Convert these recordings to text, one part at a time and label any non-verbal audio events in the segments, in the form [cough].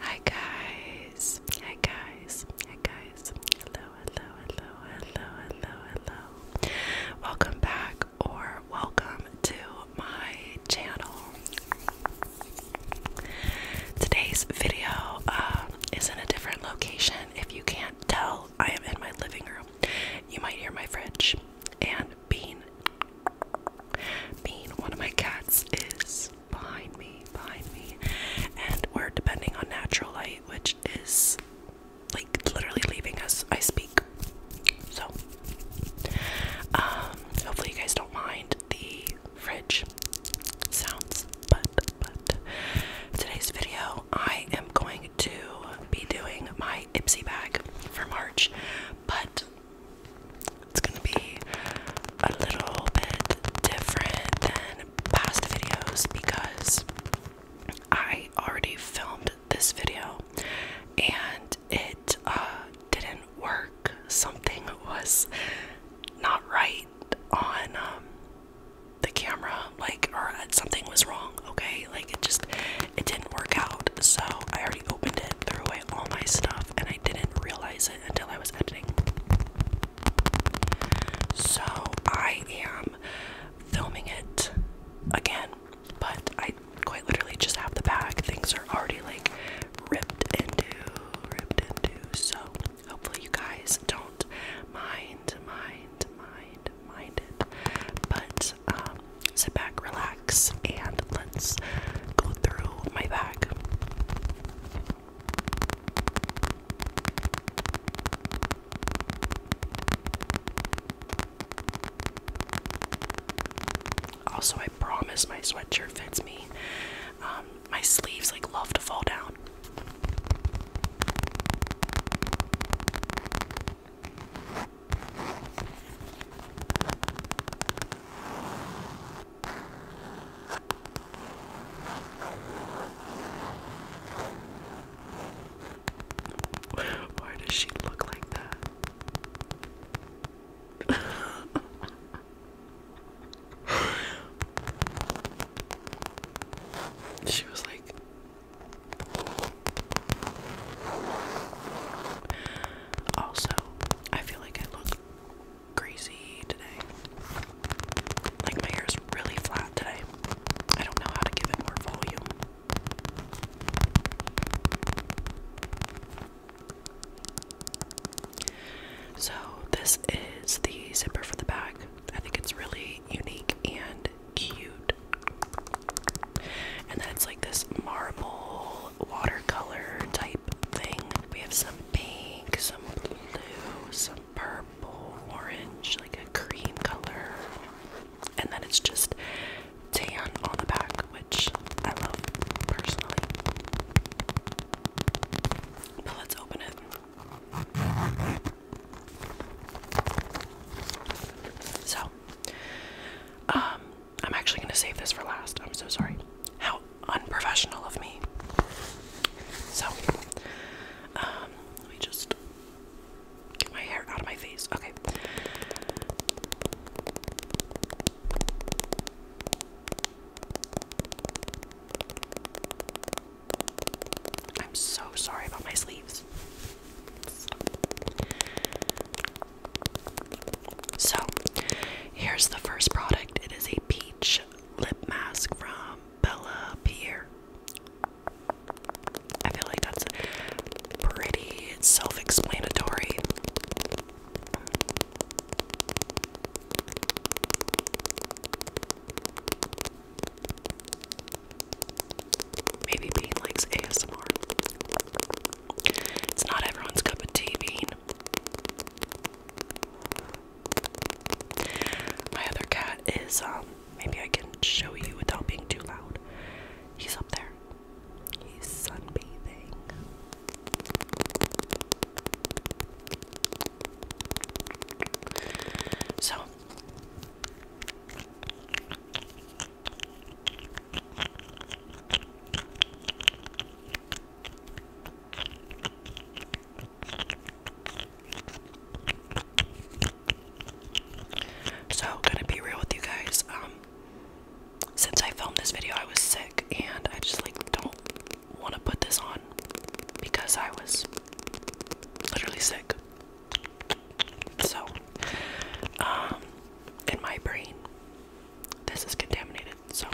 Hi guys, hi guys, hi guys. Hello, hello, hello, hello, hello, hello. Welcome back or welcome to my channel. Today's video uh, is in a different location. If you can't tell, I am in my living room. You might hear my fridge and bean Bean, one of my cats, is behind me, behind me, and we're depending on natural light, which is like literally leaving us. I speak, so um, hopefully you guys don't mind the fridge sounds. But but today's video, I am going to be doing my Ipsy bag for March, but it's gonna be a little bit different than past videos because I already filmed this video and it uh, didn't work. Something was not right on um, the camera, like, or something was wrong. Okay, like it just it didn't work out. So I already opened it, threw away all my stuff, and I didn't realize it until I was editing. So I am filming it again, but I quite literally just have the bag. Things are already like ripped into, ripped into. So hopefully you guys don't mind, mind, mind, mind it. But um, sit back, relax, and let's go through my bag. Also, I promise my sweatshirt fits me. Um, my sleeves like love to fall down. Why does she look like that? [laughs] she was like also, I feel like I look crazy today. Like my hair is really flat today. I don't know how to give it more volume. So, this is the zipper for the bag. I think it's really unique and cute. And then it's like this marble watercolor type thing. We have some pink, some blue, some purple, orange, like a cream color. And then it's just tan on the back, which I love personally. But let's open it. So, um, I'm actually going to save this for last. I'm so sorry. How unprofessional of me. So, um, let me just get my hair out of my face. Okay. I'm so sorry about my sleeves. So, here's the first product. It is a peach lip mask from Bella Pierre. I feel like that's pretty self explanatory. Maybe Bean likes ASMR. It's not everyone's cup of tea, Bean. My other cat is, um, maybe I can show you without being too loud. He's up there. He's sunbathing. So, so, gonna be real with you guys. Um, since I filmed this video, I was sick, and I just like don't want to put this on because I was literally sick. So, um, in my brain, this is contaminated. So,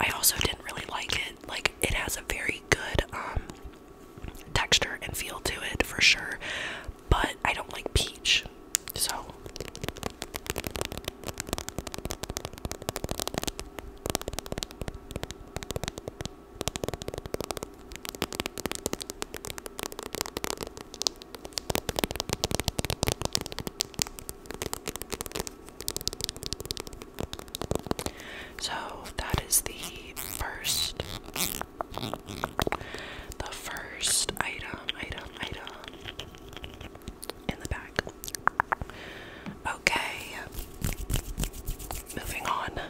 I also didn't really like it. Like, it has a very good um, texture and feel to it for sure, but I don't like peach. So, so that is the first the first item item item in the back. Okay. Moving on.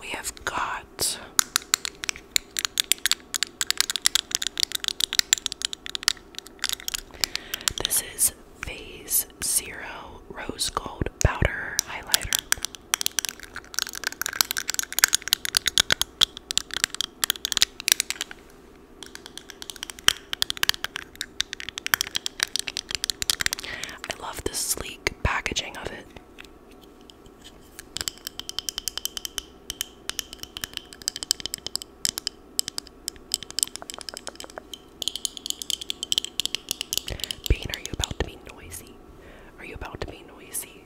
We have got this is Phase Zero Rose Gold Powder Highlighter. I love the sleek packaging of it. Bean, are you about to be noisy? Are you about to be noisy?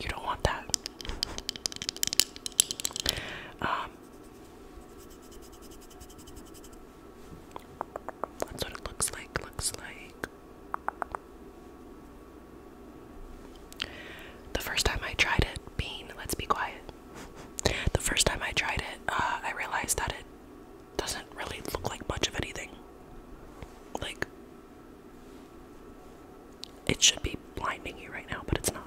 You don't want that. [laughs] Um, that's what it looks like, looks like. The first time I tried it, bean, let's be quiet. The first time I tried it, uh, I realized that it doesn't really look like much of anything. Like, it should be blinding you right now, but it's not.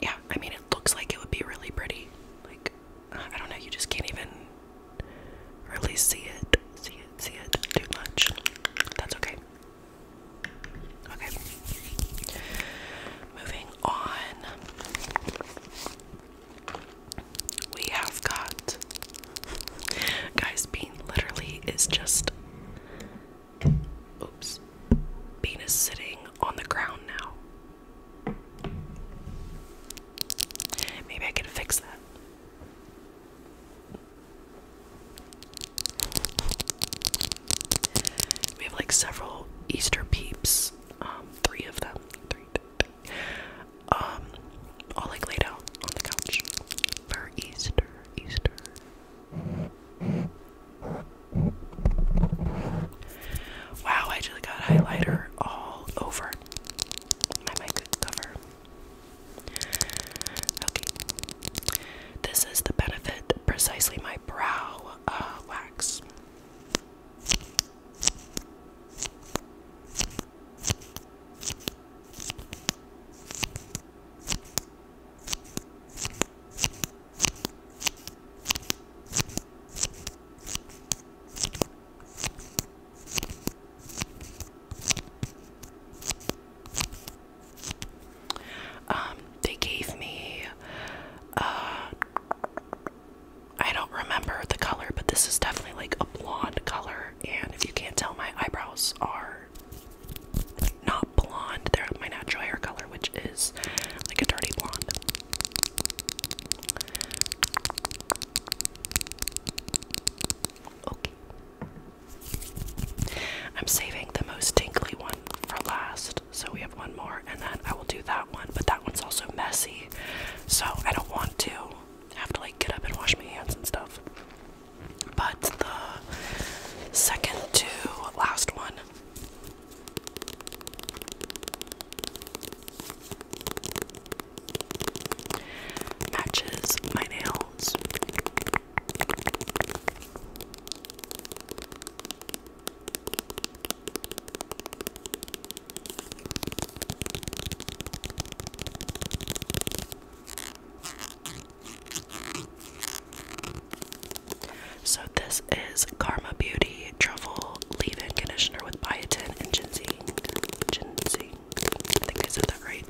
Yeah, I mean, it looks like it would be really pretty. Like, I don't know, you just can't even really see it, see it, see it too much. That's okay. Okay. Moving on. We have got. Guys, Bean literally is just Oops. Bean is sitting on the ground now. Maybe I can fix that. We have like several Easter peeps, um, three of them, three, three, three, um, all like laid out on the couch for Easter, Easter. Wow, I just got highlighter all over my mic cover. Okay. This is the benefit precisely my brow uh, wax. Um, they gave me, uh, I don't remember the color, but this is definitely like a blonde color. And if you can't tell, my eyebrows are not blonde. They're my natural hair color, which is like a dirty blonde. Okay. I'm saving the most tinkly one for last, so we have one more, and then I will do that one. But that one's also messy, so I don't want to have to like get up and wash my hands and stuff but the second to last one. Matches my nails. So this is Karma Beauty Truffle Leave-In Conditioner with Biotin and Ginseng. I think I said that right.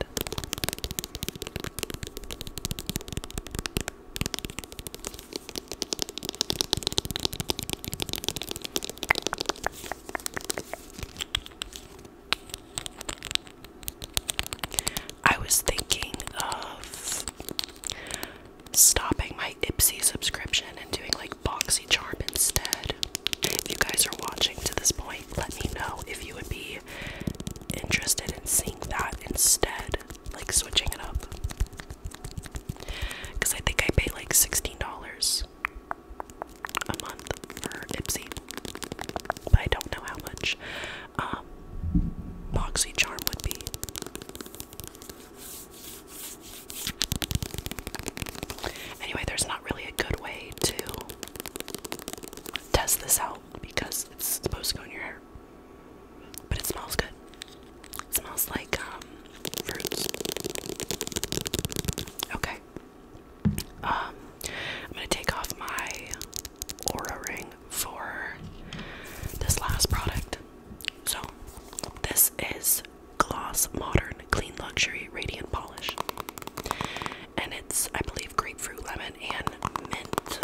I was thinking of stopping my Ipsy subscription and doing like Boxy Charm instead. If you guys are watching to this point, let me know if you would be interested in seeing that instead, like switching it up. Because I think I pay like $16 a month for Ipsy, but I don't know how much. Um, um, Charm would be. Anyway, there's not really a good way to test this out because it's supposed to go in your hair. But it smells good. smells like um, fruits. Okay. Um, I'm gonna take off my aura ring for this last product. So, this is Gloss Modern Clean Luxury Radiant Polish, and it's, I believe, grapefruit, lemon, and mint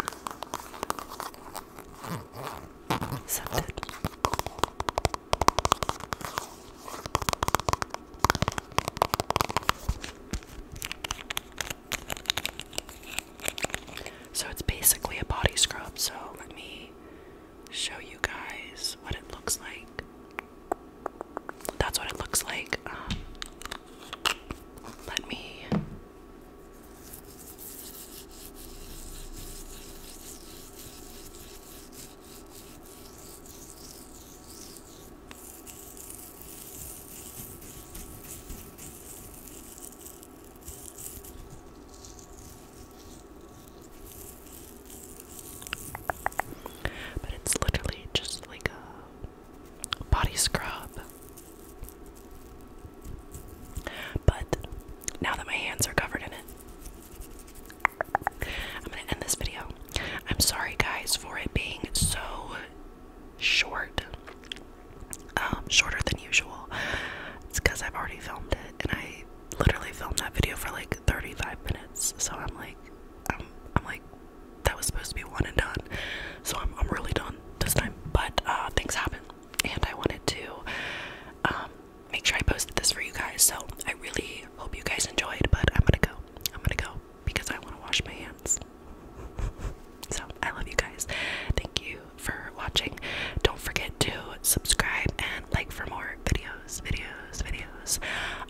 so it's basically a body scrub. So let me show you guys what it looks like. That's what it looks like. Um, let me. But it's literally just like a body scrub. But now that my hands are covered in it, I'm gonna end this video. I'm sorry, guys, for it being so short, um, shorter than usual. It's because I've already filmed it, and I literally filmed that video for like 35 minutes. So I'm like, I'm, I'm like, that was supposed to be one and done. So I'm, I'm really done this time. But uh, things happen, and I wanted to um, make sure I posted this for you guys. So I really hope you guys enjoyed. But I'm gonna go. I'm gonna go because I want to wash my hands. [laughs] so, I love you guys. Thank you for watching. Don't forget to subscribe and like for more videos, videos, videos.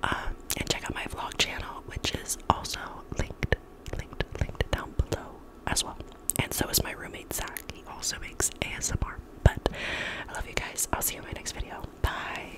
Um, and check out my vlog channel, which is also linked, linked, linked down below as well. And so is my roommate, Zach. He also makes ASMR. But I love you guys. I'll see you in my next video. Bye.